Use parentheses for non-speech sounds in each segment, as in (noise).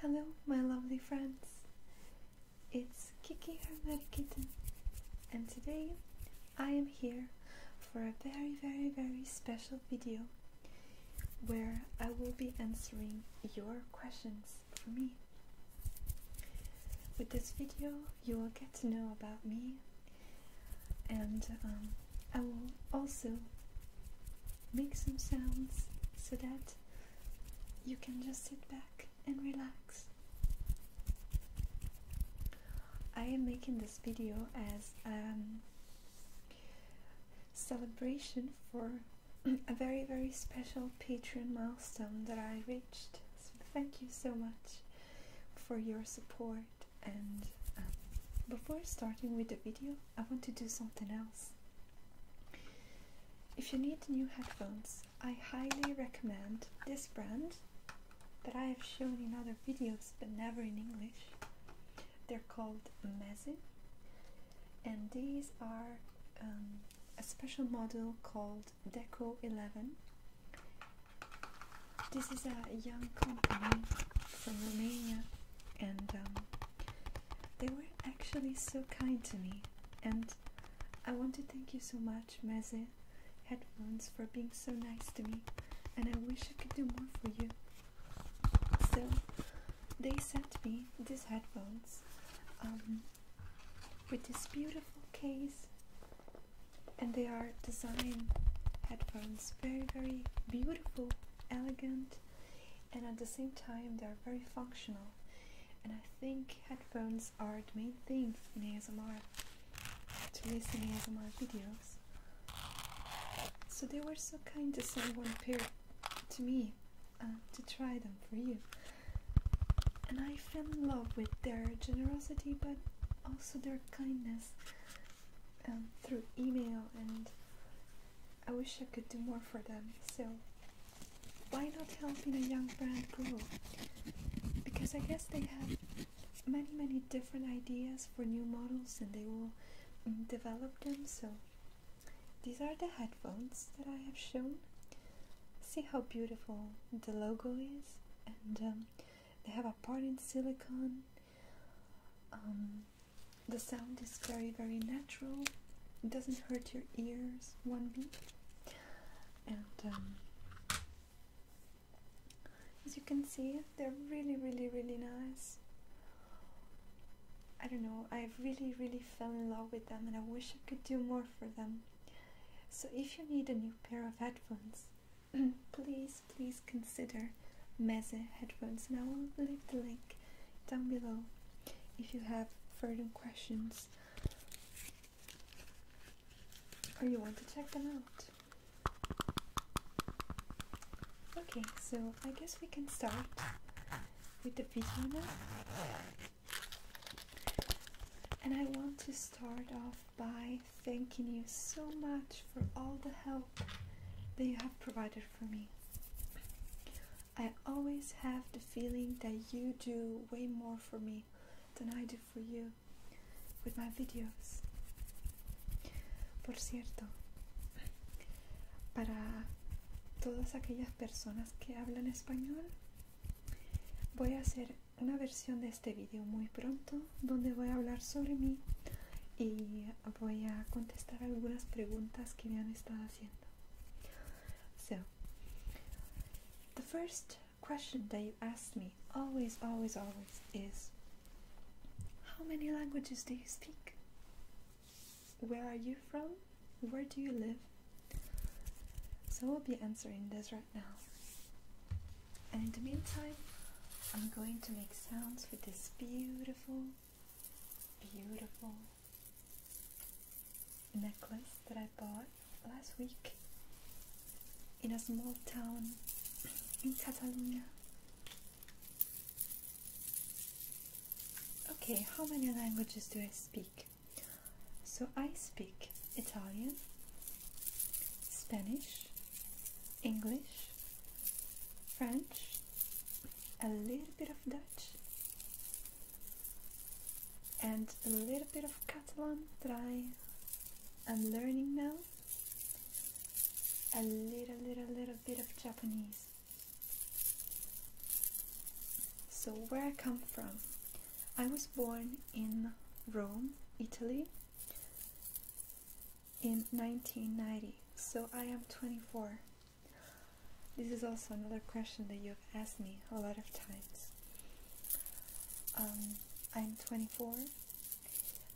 Hello, my lovely friends. It's Kiki Hermetic Kitten, and today I am here for a very, very, very special video where I will be answering your questions for me. With this video, you will get to know about me and um, I will also make some sounds so that you can just sit back and relax. I am making this video as a um, celebration for (clears throat) a very very special Patreon milestone that I reached. thank you so much for your support and um, before starting with the video I want to do something else. If you need new headphones, I highly recommend this brand that I have shown in other videos but never in English. They're called Mezi, and these are um, a special model called Deco 11. This is a young company from Romania and um, they were actually so kind to me. And I want to thank you so much, Meze Headphones, for being so nice to me. And I wish I could do more for you. So they sent me these headphones um, with this beautiful case, and they are design headphones, very, very beautiful, elegant, and at the same time they are very functional. And I think headphones are the main thing in ASMR to listen to ASMR videos. So they were so kind to send one pair to me uh, to try them for you. And I fell in love with their generosity but also their kindness um, through email and I wish I could do more for them, so why not helping a young brand grow? Because I guess they have many, many different ideas for new models and they will mm, develop them. So, these are the headphones that I have shown. See how beautiful the logo is, and um, they have a part in silicone. Um, the sound is very, very natural. It doesn't hurt your ears one bit. And um, as you can see, they're really, really, really nice. I don't know, I really, really fell in love with them and I wish I could do more for them. So if you need a new pair of headphones, (clears throat) please please consider Meze headphones, and I will leave the link down below if you have further questions or you want to check them out. Okay, so I guess we can start with the video And I want to start off by thanking you so much for all the help They that you have provided for me. I always have the feeling that you do way more for me than I do for you with my videos. Por cierto, para todas aquellas personas que hablan español, voy a hacer una versión de este video muy pronto donde voy a hablar sobre mí y voy a contestar algunas preguntas que me han estado haciendo. So, the first question that you asked me always, always, always is How many languages do you speak? Where are you from? Where do you live? So, i will be answering this right now. And in the meantime, I'm going to make sounds with this beautiful beautiful necklace that I bought last week in a small town in Catalonia. Okay, how many languages do I speak? So I speak Italian, Spanish, English, French, a little bit of Dutch, and a little bit of Catalan that I am learning now, a little, little, little bit of Japanese. So, where I come from, I was born in Rome, Italy, in 1990, so I am 24. This is also another question that you have asked me a lot of times. Um, I'm 24.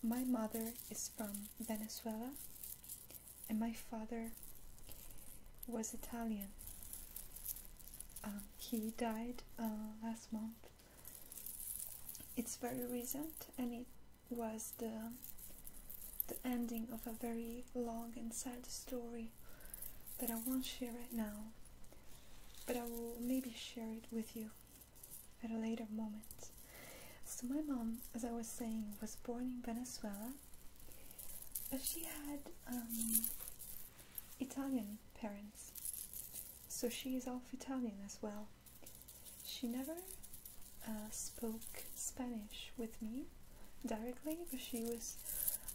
My mother is from Venezuela, and my father was Italian. Um, he died uh, last month. It's very recent and it was the, the ending of a very long and sad story that I won't share right now, but I will maybe share it with you at a later moment. So my mom, as I was saying, was born in Venezuela, but she had um, Italian parents, so she is half Italian as well. She never uh, spoke Spanish with me directly, but she was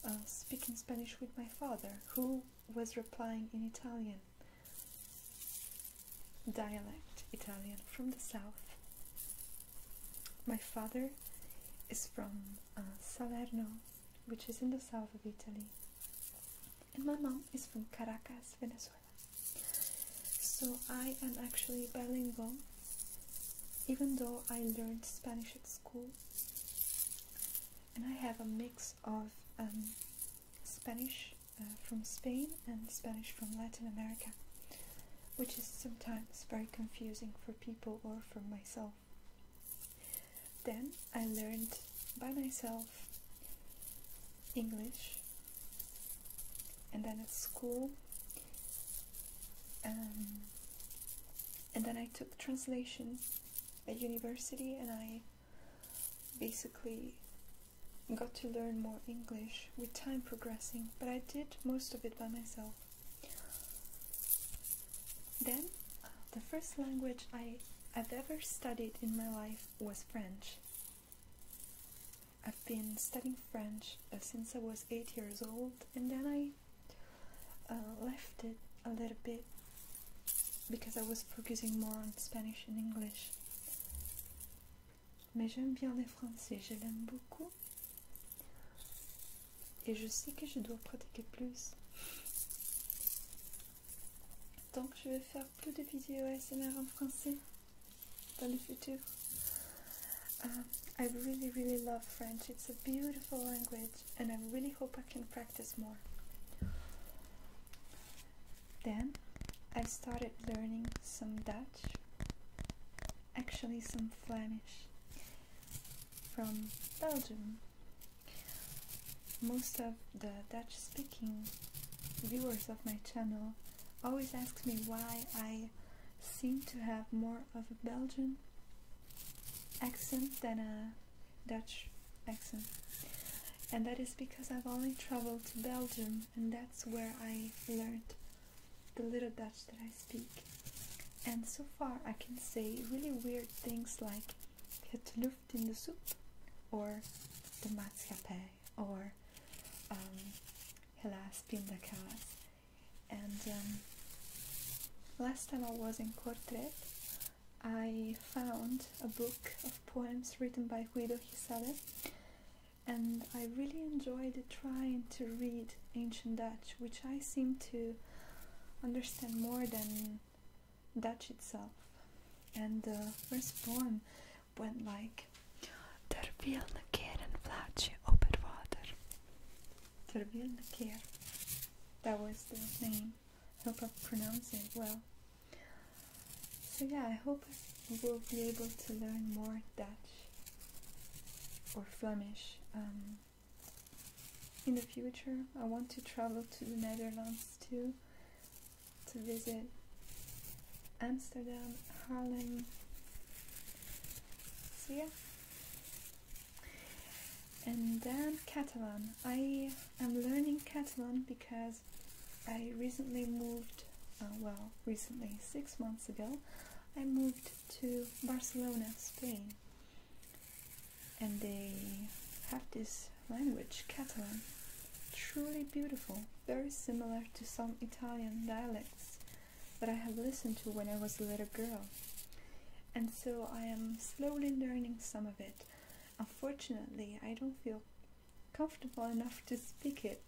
uh, speaking Spanish with my father, who was replying in Italian dialect, Italian from the south. My father is from uh, Salerno, which is in the south of Italy, and my mom is from Caracas, Venezuela. So I am actually bilingual, even though I learned Spanish at school, and I have a mix of um, Spanish uh, from Spain and Spanish from Latin America, which is sometimes very confusing for people or for myself. Then I learned by myself English and then at school um, and then I took translation at university and I basically got to learn more English with time progressing, but I did most of it by myself. Then, uh, the first language I have ever studied in my life was French, I've been studying French uh, since I was eight years old, and then I uh, left it a little bit because I was focusing more on Spanish and English. Mais j'aime bien les français, je l'aime beaucoup. Et je sais que je dois pratiquer plus. Donc je vais faire peu de vidéos ASMR en français dans le um, I really, really love French. It's a beautiful language, and I really hope I can practice more. Then I started learning some Dutch, actually, some Flemish from Belgium. Most of the Dutch speaking viewers of my channel always asks me why I seem to have more of a Belgian accent than a Dutch accent. And that is because I've only traveled to Belgium and that's where I learned the little Dutch that I speak. And so far I can say really weird things like het luft in the soup" or the maatschappij or um, Hellas Pindakas. And um, last time I was in Cortret, I found a book of poems written by Guido Hisabe, and I really enjoyed trying to read ancient Dutch, which I seem to understand more than Dutch itself. And the uh, first poem when like Där vill en flatsche över water. There Där vill That was the name. Help I pronouncing well. So yeah, I hope we will be able to learn more Dutch or Flemish um, in the future. I want to travel to the Netherlands too to visit Amsterdam, Harlem. So yeah. And then Catalan. I am learning Catalan because I recently moved, uh, well, recently, six months ago, I moved to Barcelona, Spain. And they have this language, Catalan, truly beautiful, very similar to some Italian dialects that I have listened to when I was a little girl. And so I am slowly learning some of it. Unfortunately, I don't feel comfortable enough to speak it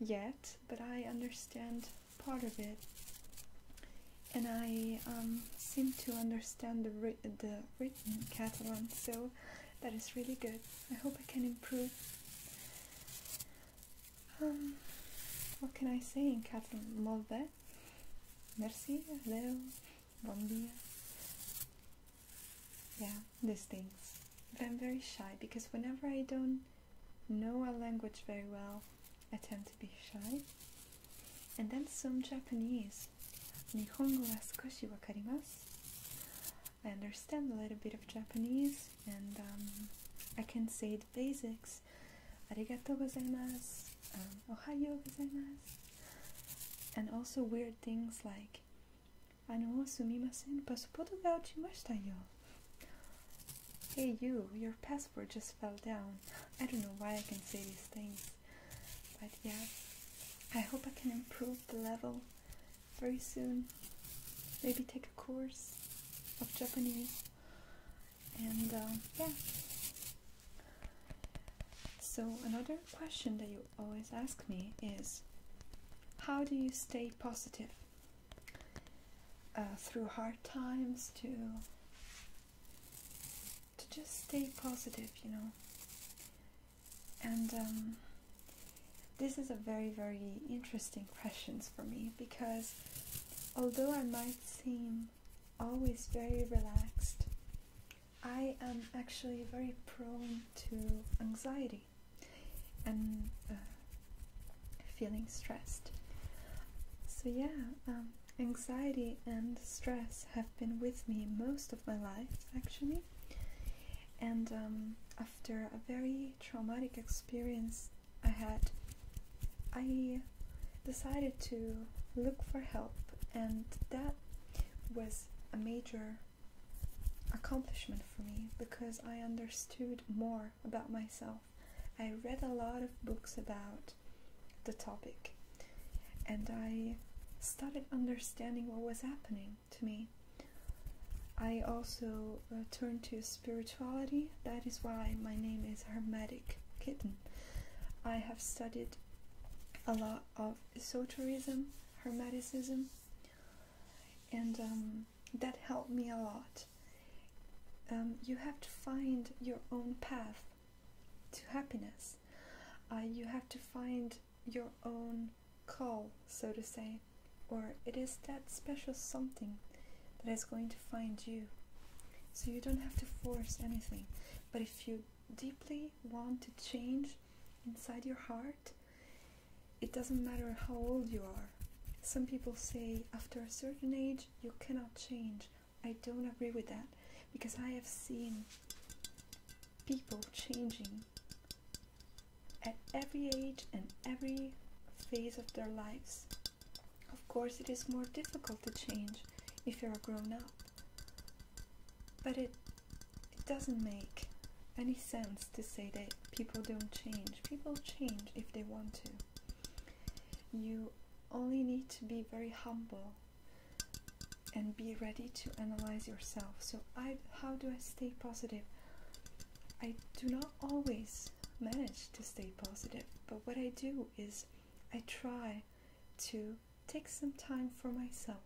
yet, but I understand part of it. And I um, seem to understand the written Catalan, so that is really good. I hope I can improve. Um, what can I say in Catalan? Molve, merci, hello, bon dia. Yeah, these things. But I'm very shy because whenever I don't know a language very well, I tend to be shy. And then some Japanese. 日本語は少しわかります。I understand a little bit of Japanese and um, I can say the basics. Arigato gozaimasu, um, ohayo gozaimasu, and also weird things like Ano sumimasen, passporto ga uchimashita yo. Hey you, your passport just fell down. I don't know why I can say these things, but yeah, I hope I can improve the level very soon. Maybe take a course of Japanese. And uh, yeah. So, another question that you always ask me is how do you stay positive uh, through hard times to to just stay positive you know and um, this is a very, very interesting questions for me because although I might seem always very relaxed, I am actually very prone to anxiety and uh, feeling stressed. So, yeah, um, anxiety and stress have been with me most of my life actually, and um, after a very traumatic experience I had, I decided to look for help, and that was a major accomplishment for me because I understood more about myself. I read a lot of books about the topic and I started understanding what was happening to me. I also uh, turn to spirituality. That is why my name is Hermetic Kitten. I have studied a lot of esotericism, hermeticism, and um, that helped me a lot. Um, you have to find your own path to happiness. Uh, you have to find your own call, so to say, or it is that special something that is going to find you. So you don't have to force anything. But if you deeply want to change inside your heart, it doesn't matter how old you are. Some people say after a certain age you cannot change. I don't agree with that because I have seen people changing at every age and every phase of their lives. Of course, it is more difficult to change if you're a grown up, but it, it doesn't make any sense to say that people don't change. People change if they want to. You only need to be very humble and be ready to analyze yourself. So, I how do I stay positive? I do not always manage to stay positive, but what I do is I try to take some time for myself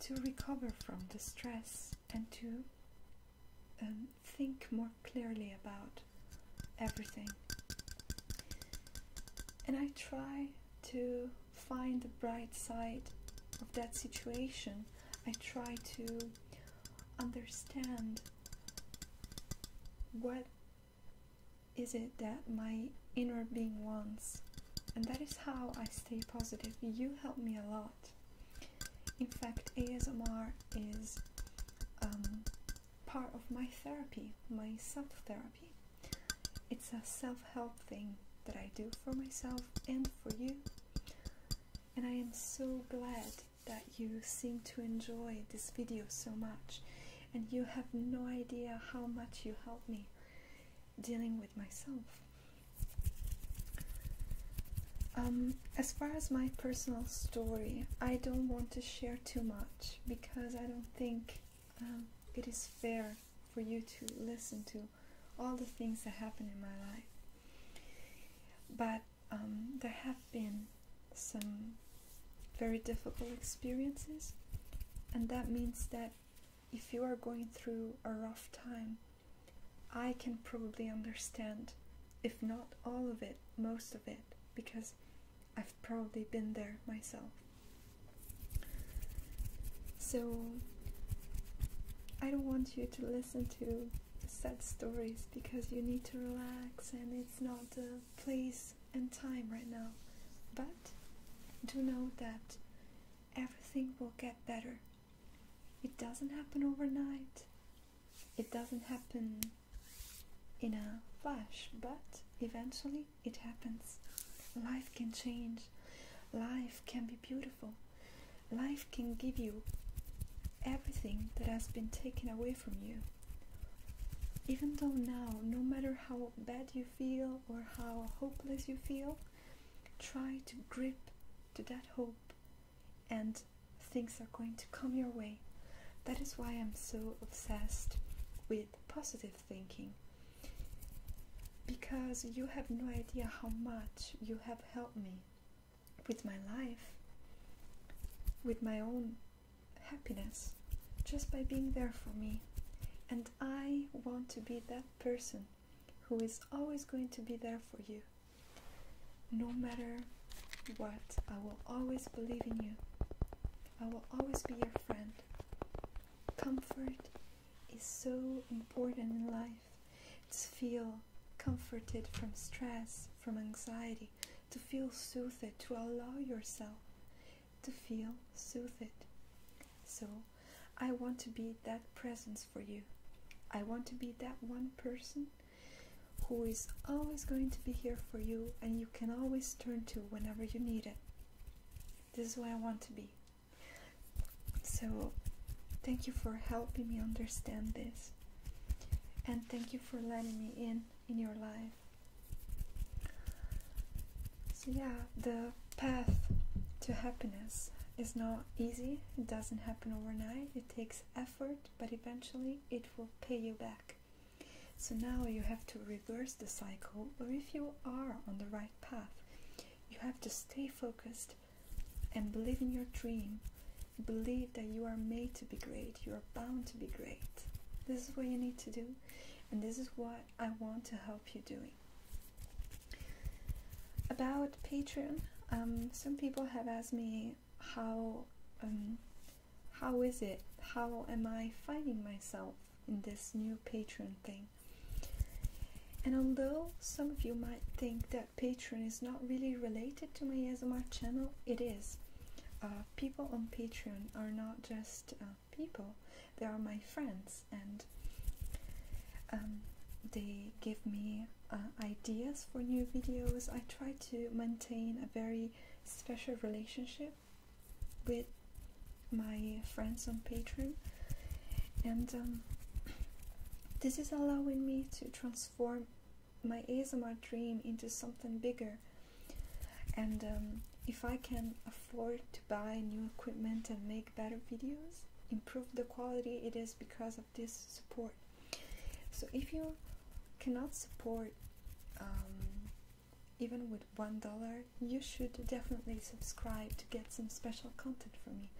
to recover from the stress and to um, think more clearly about everything. And I try to find the bright side of that situation. I try to understand what is it that my inner being wants. And that is how I stay positive. You help me a lot. In fact, ASMR is um, part of my therapy, my self therapy. It's a self help thing that I do for myself and for you. And I am so glad that you seem to enjoy this video so much. And you have no idea how much you help me dealing with myself. Um, as far as my personal story, I don't want to share too much because I don't think um, it is fair for you to listen to all the things that happen in my life. But um, there have been some very difficult experiences, and that means that if you are going through a rough time, I can probably understand, if not all of it, most of it, because I've probably been there myself. So, I don't want you to listen to sad stories because you need to relax and it's not the place and time right now. But do know that everything will get better. It doesn't happen overnight, it doesn't happen in a flash, but eventually it happens. Life can change. Life can be beautiful. Life can give you everything that has been taken away from you. Even though now, no matter how bad you feel or how hopeless you feel, try to grip to that hope and things are going to come your way. That is why I'm so obsessed with positive thinking because you have no idea how much you have helped me with my life, with my own happiness, just by being there for me. And I want to be that person who is always going to be there for you. No matter what, I will always believe in you. I will always be your friend. Comfort is so important in life. To feel comforted from stress, from anxiety, to feel soothed, to allow yourself to feel soothed. So, I want to be that presence for you. I want to be that one person who is always going to be here for you and you can always turn to whenever you need it. This is where I want to be. So, thank you for helping me understand this. And thank you for letting me in in your life. So, yeah, the path to happiness is not easy. It doesn't happen overnight. It takes effort, but eventually it will pay you back. So now you have to reverse the cycle, or if you are on the right path, you have to stay focused and believe in your dream. Believe that you are made to be great, you are bound to be great. This is what you need to do, and this is what I want to help you doing. About Patreon, um, some people have asked me how um, how is it? How am I finding myself in this new Patreon thing. And although some of you might think that Patreon is not really related to me my ASMR channel, it is. Uh, people on Patreon are not just uh, people, they are my friends and um, they give me uh, ideas for new videos. I try to maintain a very special relationship with my friends on Patreon, and um, this is allowing me to transform my ASMR dream into something bigger. And um, if I can afford to buy new equipment and make better videos, improve the quality, it is because of this support. So if you cannot support um, even with $1, you should definitely subscribe to get some special content from me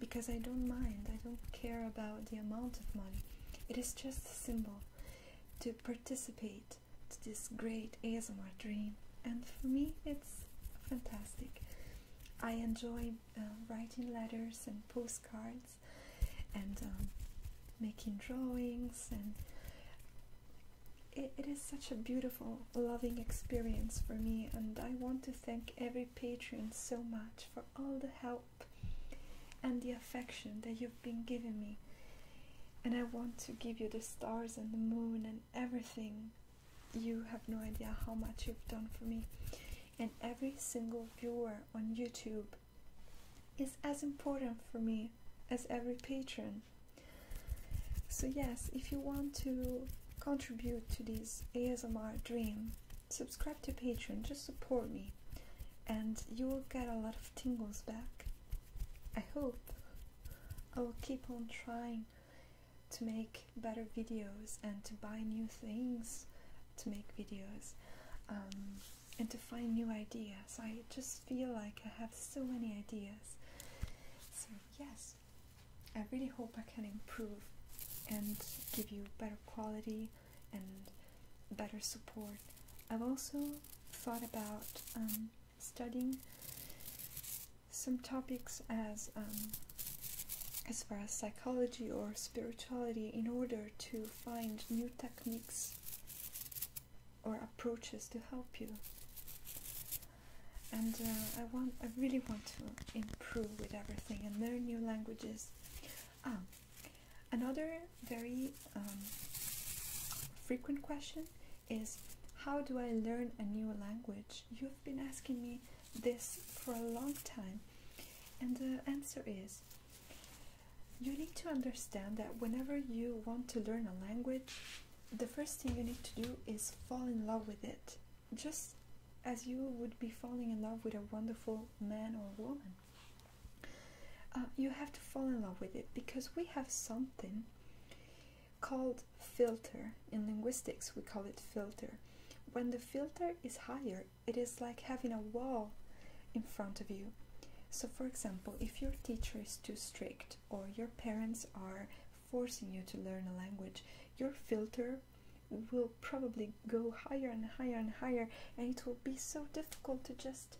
because I don't mind, I don't care about the amount of money. It is just a symbol to participate to this great ASMR dream, and for me, it's fantastic. I enjoy uh, writing letters and postcards and um, making drawings and it is such a beautiful, loving experience for me, and I want to thank every patron so much for all the help and the affection that you've been giving me. And I want to give you the stars and the moon and everything. You have no idea how much you've done for me. And every single viewer on YouTube is as important for me as every patron. So, yes, if you want to contribute to this ASMR dream, subscribe to Patreon, just support me, and you will get a lot of tingles back. I hope I will keep on trying to make better videos and to buy new things to make videos um, and to find new ideas. I just feel like I have so many ideas so, yes, I really hope I can improve and give you better quality and better support. I've also thought about um, studying some topics as um, as far as psychology or spirituality in order to find new techniques or approaches to help you. And uh, I want, I really want to improve with everything and learn new languages. Ah, another very um, frequent question is, how do I learn a new language? You've been asking me this for a long time, and the answer is, you need to understand that whenever you want to learn a language, the first thing you need to do is fall in love with it, just as you would be falling in love with a wonderful man or woman. Uh, you have to fall in love with it because we have something called filter. In linguistics, we call it filter. When the filter is higher, it is like having a wall in front of you. So, for example, if your teacher is too strict, or your parents are forcing you to learn a language, your filter will probably go higher and higher and higher, and it will be so difficult to just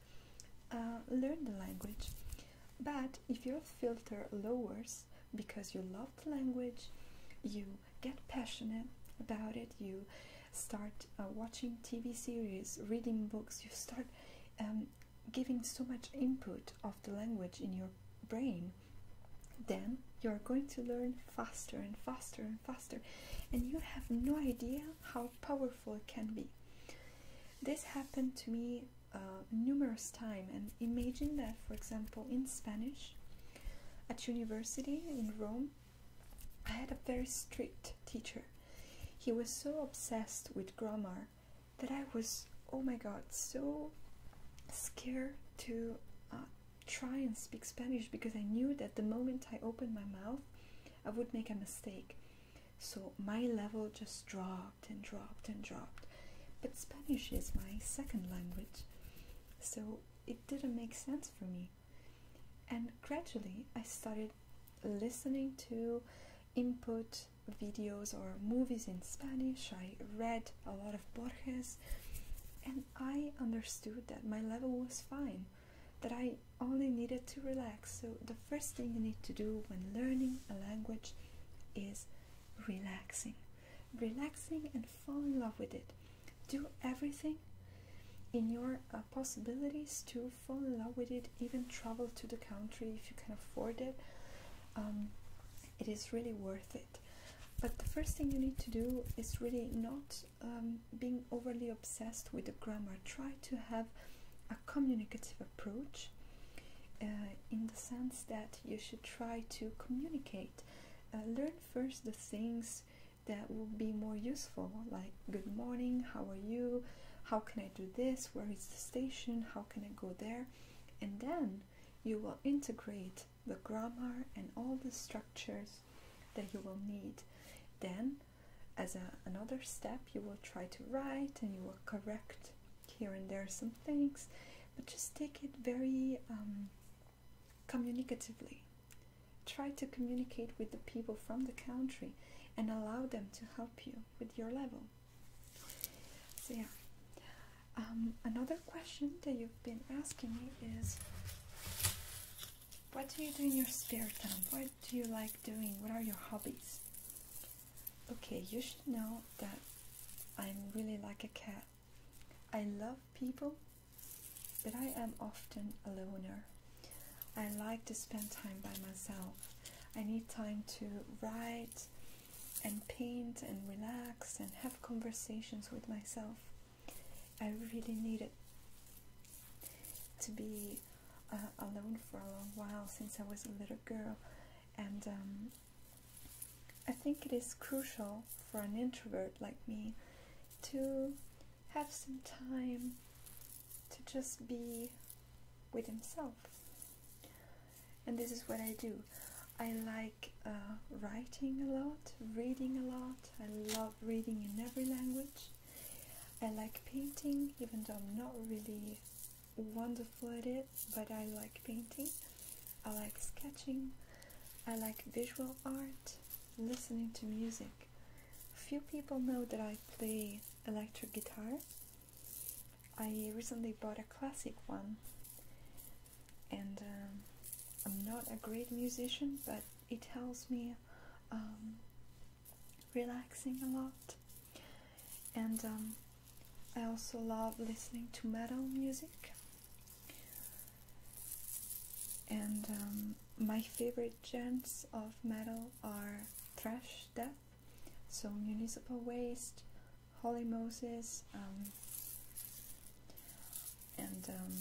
uh, learn the language. But if your filter lowers because you love the language, you get passionate about it, you start uh, watching TV series, reading books, you start um, giving so much input of the language in your brain, then you're going to learn faster and faster and faster, and you have no idea how powerful it can be. This happened to me uh, numerous times, and imagine that, for example, in Spanish, at university in Rome, I had a very strict teacher. He was so obsessed with grammar that I was, oh my god, so scared to uh, try and speak Spanish because I knew that the moment I opened my mouth, I would make a mistake. So my level just dropped and dropped and dropped. But Spanish is my second language, so it didn't make sense for me. And gradually, I started listening to input videos or movies in Spanish. I read a lot of Borges and I understood that my level was fine, that I only needed to relax. So, the first thing you need to do when learning a language is relaxing. Relaxing and fall in love with it. Do everything in your uh, possibilities to fall in love with it, even travel to the country if you can afford it. Um, it is really worth it. But the first thing you need to do is really not um, being overly obsessed with the grammar. Try to have a communicative approach uh, in the sense that you should try to communicate. Uh, learn first the things that will be more useful, like good morning how are you how can i do this where is the station how can i go there and then you will integrate the grammar and all the structures that you will need then as another step you will try to write and you will correct here and there some things but just take it very um, communicatively try to communicate with the people from the country and allow them to help you with your level. So yeah. Um, another question that you've been asking me is what do you do in your spare time? What do you like doing? What are your hobbies? Okay, you should know that I'm really like a cat. I love people, but I am often a loner. I like to spend time by myself. I need time to write and paint and relax and have conversations with myself. I really needed to be uh, alone for a long while since I was a little girl, and um, I think it is crucial for an introvert like me to have some time to just be with himself. And this is what I do. I like uh, writing a lot, reading a lot. I love reading in every language. I like painting, even though I'm not really wonderful at it, but I like painting. I like sketching. I like visual art, listening to music. Few people know that I play electric guitar. I recently bought a classic one, and um, I'm not a great musician, but it helps me um, relaxing a lot. And um, I also love listening to metal music. And my favorite genres of metal are trash death. So municipal waste, Holy Moses, um, and um,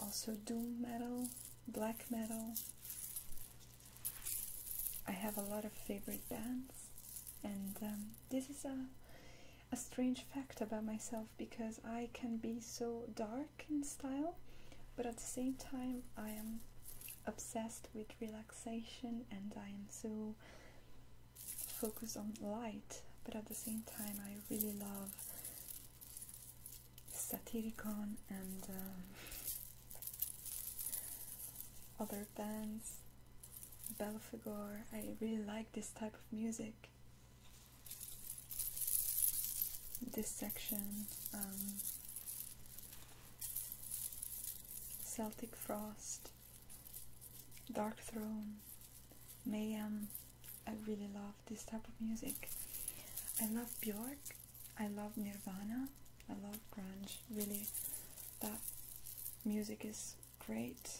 also doom metal, black metal. I have a lot of favorite bands, and um, this is a a strange fact about myself because I can be so dark style, but at the same time, I am obsessed with relaxation and I am so focused on light, but at the same time, I really love Satyricon and um, other bands. Belphegor, I really like this type of music. This section, um, Celtic Frost, Dark Throne, Mayhem. I really love this type of music. I love Björk, I love Nirvana, I love grunge. Really, that music is great.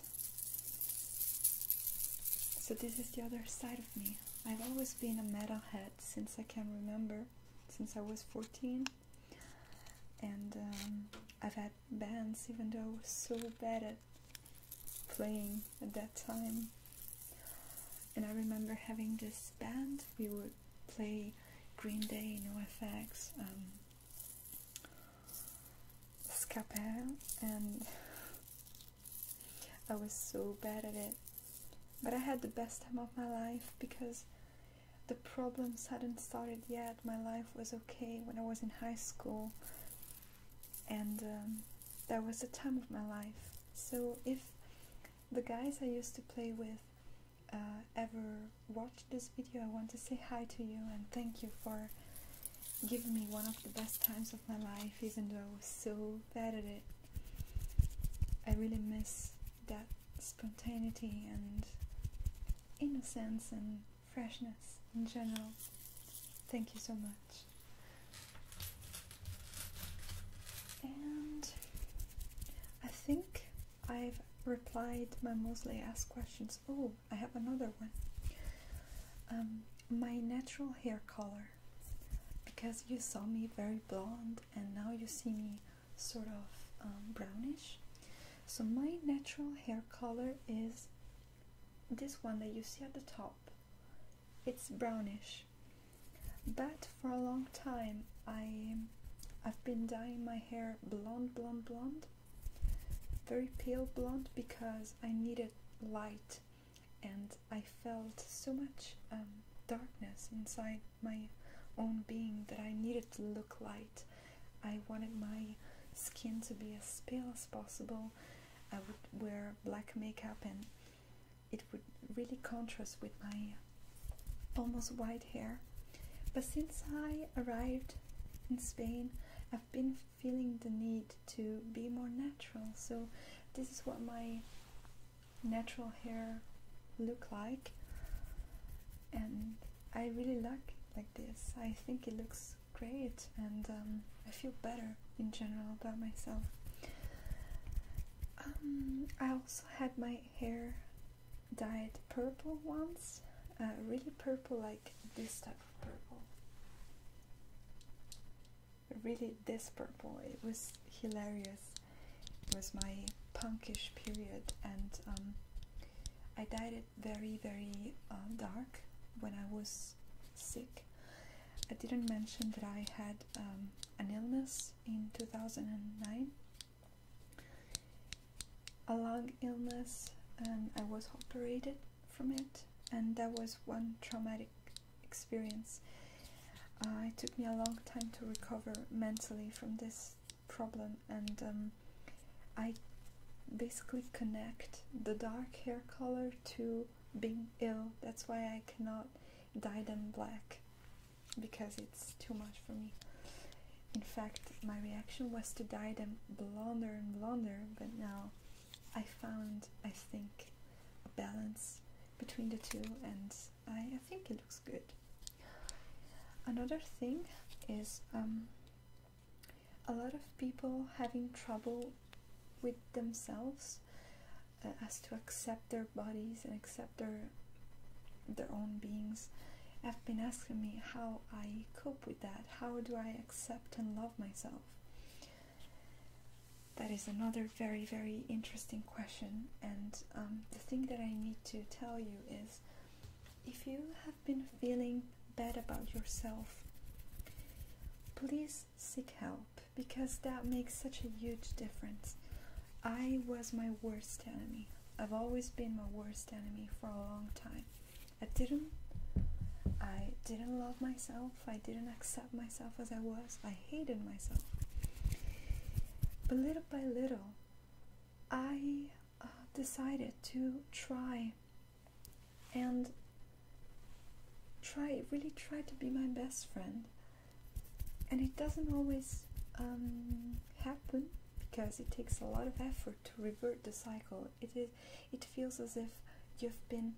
So, this is the other side of me. I've always been a metal head since I can remember since I was 14 and um, I've had bands even though I was so bad at playing at that time and I remember having this band we would play Green Day, NoFX, um, Scapel and (laughs) I was so bad at it but I had the best time of my life because the problems hadn't started yet. My life was okay when I was in high school, and um, that was the time of my life. So if the guys I used to play with uh, ever watch this video, I want to say hi to you and thank you for giving me one of the best times of my life, even though I was so so it. I really miss that spontaneity and innocence and freshness in general. Thank you so much. And I think I've replied my mostly asked questions. Oh, I have another one. Um, my natural hair color. Because you saw me very blonde and now you see me sort of um, brownish so my natural hair color is this one that you see at the top it's brownish but for a long time I I've been dyeing my hair blonde blonde blonde very pale blonde because I needed light and I felt so much um, darkness inside my own being that I needed to look light. I wanted my skin to be as pale as possible. I would wear black makeup and it would really contrast with my almost white hair. But since I arrived in Spain, I've been feeling the need to be more natural. So this is what my natural hair look like and I really like like this. I think it looks great and um, I feel better in general about myself. Um, I also had my hair dyed purple once, uh, really purple like this type of purple really desperate boy. It was hilarious. It was my punkish period, and um, I dyed it very, very um, dark when I was sick. I didn't mention that I had um, an illness in 2009, a lung illness, and I was operated from it, and that was one traumatic experience. Uh, it took me a long time to recover mentally from this problem, and um, I basically connect the dark hair color to being ill. That's why I cannot dye them black because it's too much for me. In fact, my reaction was to dye them blonder and blonder, but now I found, I think, a balance between the two and I, I think it looks good. Another thing is um, a lot of people having trouble with themselves uh, as to accept their bodies and accept their their own beings have been asking me how I cope with that how do I accept and love myself that is another very, very interesting question. And um, the thing that I need to tell you is if you have been feeling bad about yourself, please seek help because that makes such a huge difference. I was my worst enemy. I've always been my worst enemy for a long time. I didn't I didn't love myself. If I didn't accept myself as I was. I hated myself. But little by little, I uh, decided to try and try, really try to be my best friend. And it doesn't always um, happen because it takes a lot of effort to revert the cycle. It is, it feels as if you've been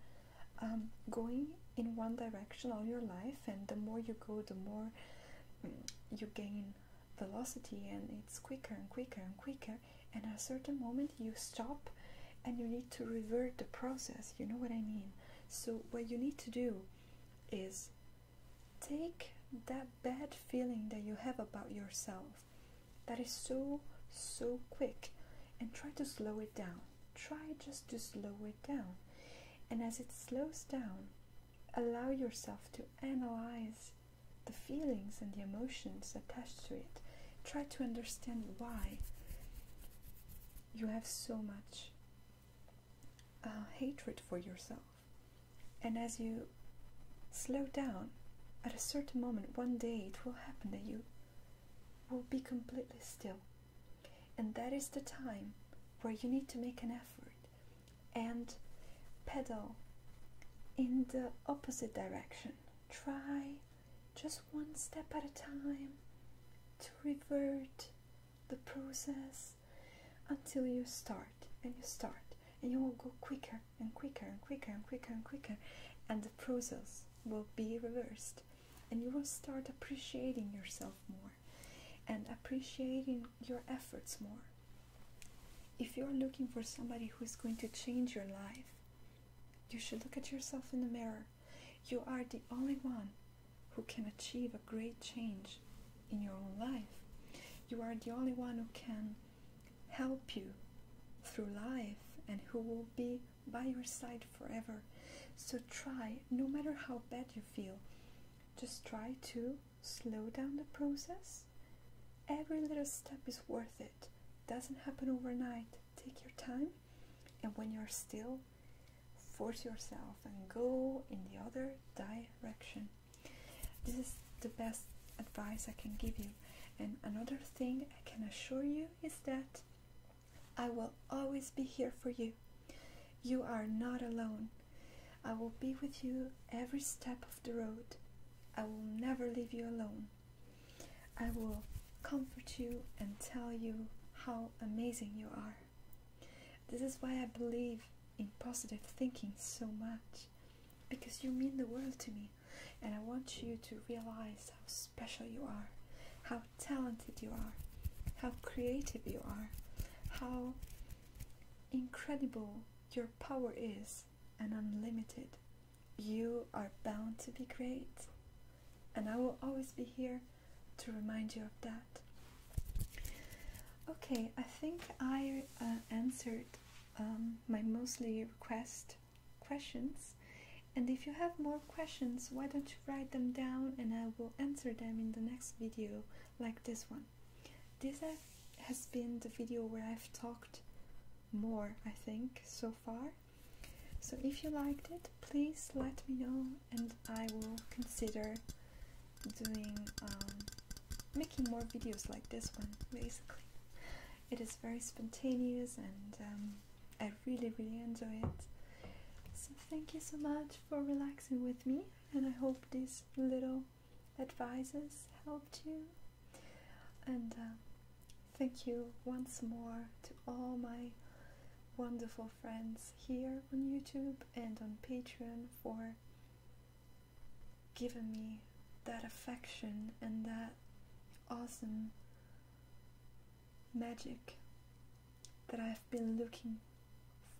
um, going in one direction all your life, and the more you go, the more mm, you gain velocity, and it's quicker and quicker and quicker. And at a certain moment, you stop and you need to revert the process. You know what I mean? So, what you need to do is take that bad feeling that you have about yourself that is so so quick and try to slow it down try just to slow it down. And as it slows down, allow yourself to analyze the feelings and the emotions attached to it. Try to understand why you have so much uh, hatred for yourself. And as you slow down, at a certain moment, one day it will happen that you will be completely still and that is the time where you need to make an effort and pedal in the opposite direction. Try just one step at a time to revert the process until you start and you start and you will go quicker and quicker and quicker and quicker and quicker and the process will be reversed and you will start appreciating yourself more and appreciating your efforts more. If you're looking for somebody who is going to change your life, you should look at yourself in the mirror. You are the only one who can achieve a great change in your own life. You are the only one who can help you through life and who will be by your side forever. So try, no matter how bad you feel, just try to slow down the process. Every little step is worth it. Doesn't happen overnight. Take your time, and when you're still, force yourself and go in the other direction. This is the best advice I can give you. And another thing I can assure you is that I will always be here for you. You are not alone. I will be with you every step of the road. I will never leave you alone. I will comfort you and tell you how amazing you are. This is why I believe in positive thinking so much because you mean the world to me and I want you to realize how special you are, how talented you are, how creative you are, how incredible your power is and unlimited. You are bound to be great, and I will always be here to remind you of that. Okay, I think I uh, answered um, my mostly request questions. And if you have more questions, why don't you write them down and I will answer them in the next video, like this one. This has been the video where I've talked more, I think, so far. So if you liked it, please let me know and I will consider doing, um, making more videos like this one, basically. It is very spontaneous and um, I really, really enjoy it. So, thank you so much for relaxing with me, and I hope these little advices helped you. And uh, thank you once more to all my wonderful friends here on YouTube and on Patreon for giving me that affection and that awesome magic that I've been looking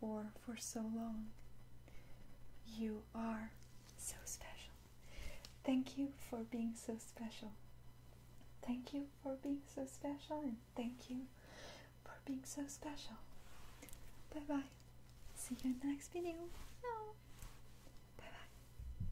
for for so long. You are so special. Thank you for being so special. Thank you for being so special, and thank you for being so special. Bye bye. See you in the next video. Bye bye.